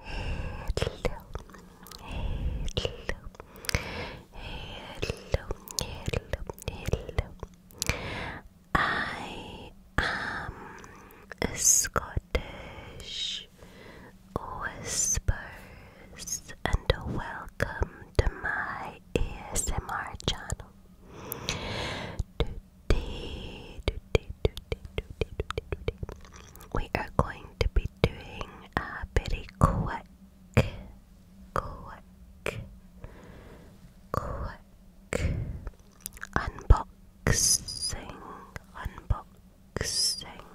hello. I am a Scottish Whispers and welcome to my ASMR channel today, we are going to be doing a pretty quick, quick, quick unboxing, unboxing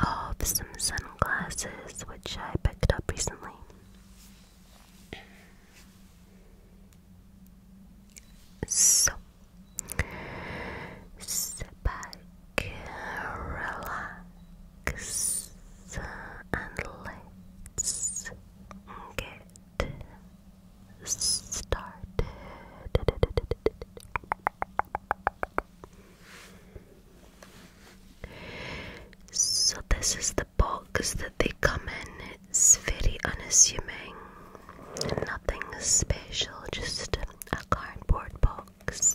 of some sunglasses which I picked up recently. So, sit relax, and let's get started. So, this is the box that they come in it's very unassuming, nothing special, just a cardboard box.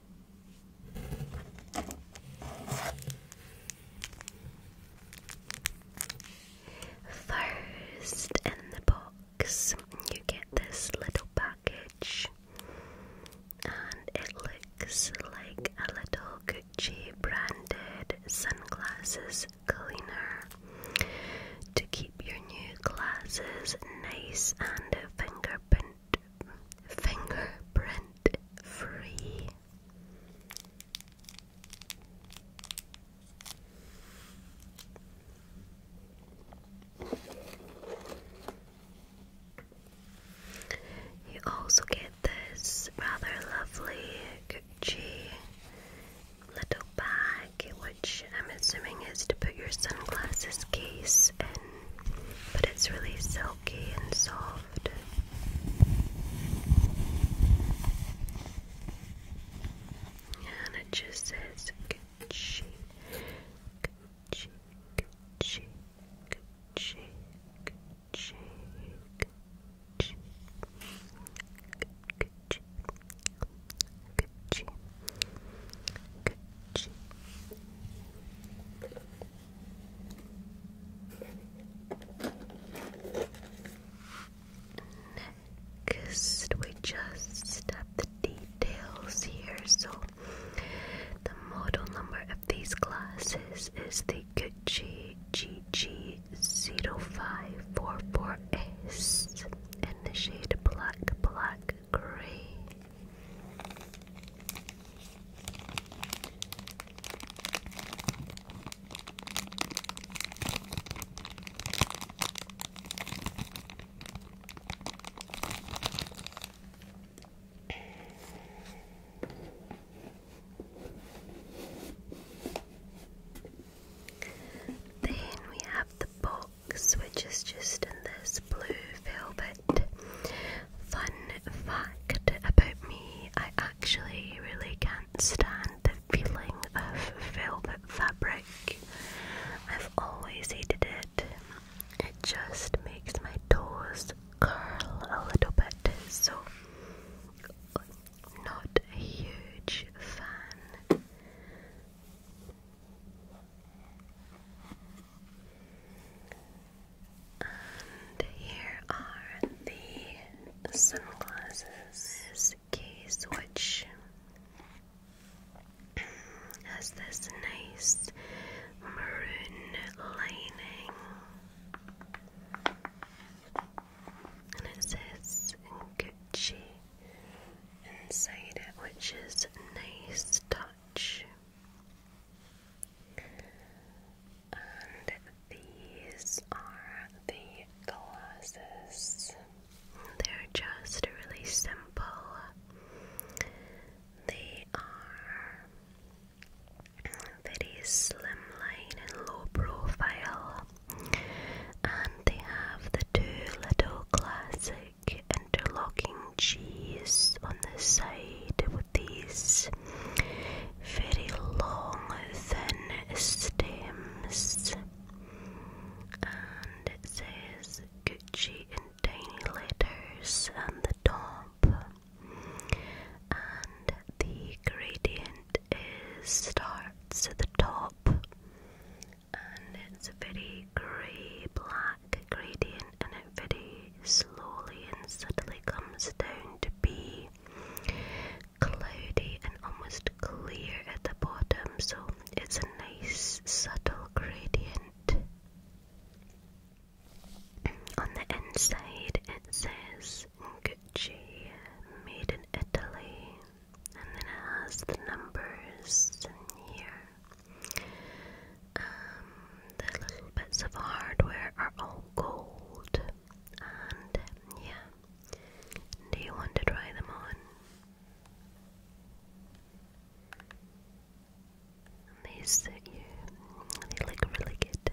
First in the box, you get this little package, and it looks like a little Gucci branded sunglasses cleaner to keep your new glasses nice and fingerprint fingerprint fingerprint free. You also get this rather lovely Gucci little bag, which I'm assuming is to put your sunglasses case in but it's really silky and soft. And it just says Gucci, Gucci, Gucci, Gucci, Gucci, Gucci, Gucci, Gucci, Gucci. Next, we just have the details here. So, the model number of these glasses is the Gucci GG05448S in the shade Black Black gray. Then we have the box which is just in this blue velvet. Fun fact about me I actually really can't stand the feeling of velvet fabric. I've always hated it. It just makes my toes curl a little bit, so not a huge fan and here are the sunglasses case, which has this nice maroon lining. And it says Gucci inside it, which is nice touch. And these are the glasses. They're just really simple. They are very slimline and low profile. And they have the two little classic interlocking cheese on the side with these very long, thin stems. And it says Gucci in tiny letters on the top. And the gradient is starts at the top and it's a very grey black gradient and it very slowly and subtly comes down to be cloudy and almost clear at the bottom so it's a nice subtle gradient. On the inside it says Gucci, made in Italy, and then it has the numbers in here. Um, the little bits of hardware are all gold, and yeah. Do you want to try them on? they suit you. They look really good.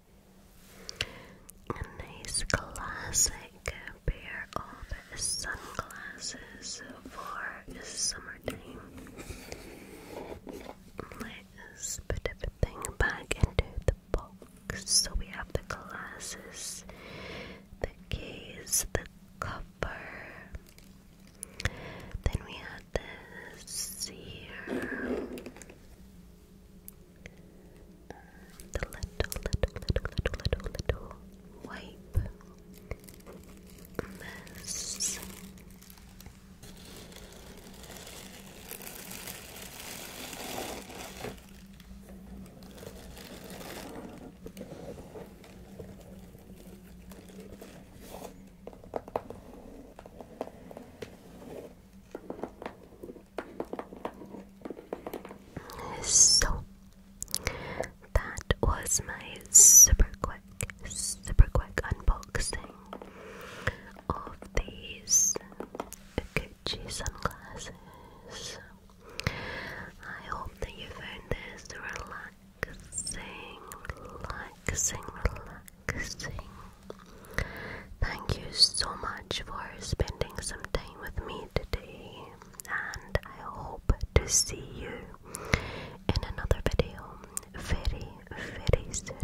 a classic pair of sunglasses for summertime. Let's put everything back into the box. So we have the glasses, the case, the cover. Then we had this here. Um, the little, little, little, little, little, little wipe mess. So that was my super quick, super quick unboxing of these Gucci sunglasses. I hope that you found this relaxing, relaxing, relaxing. Thank you so much for spending some time with me today, and I hope to see you in another video very, very soon.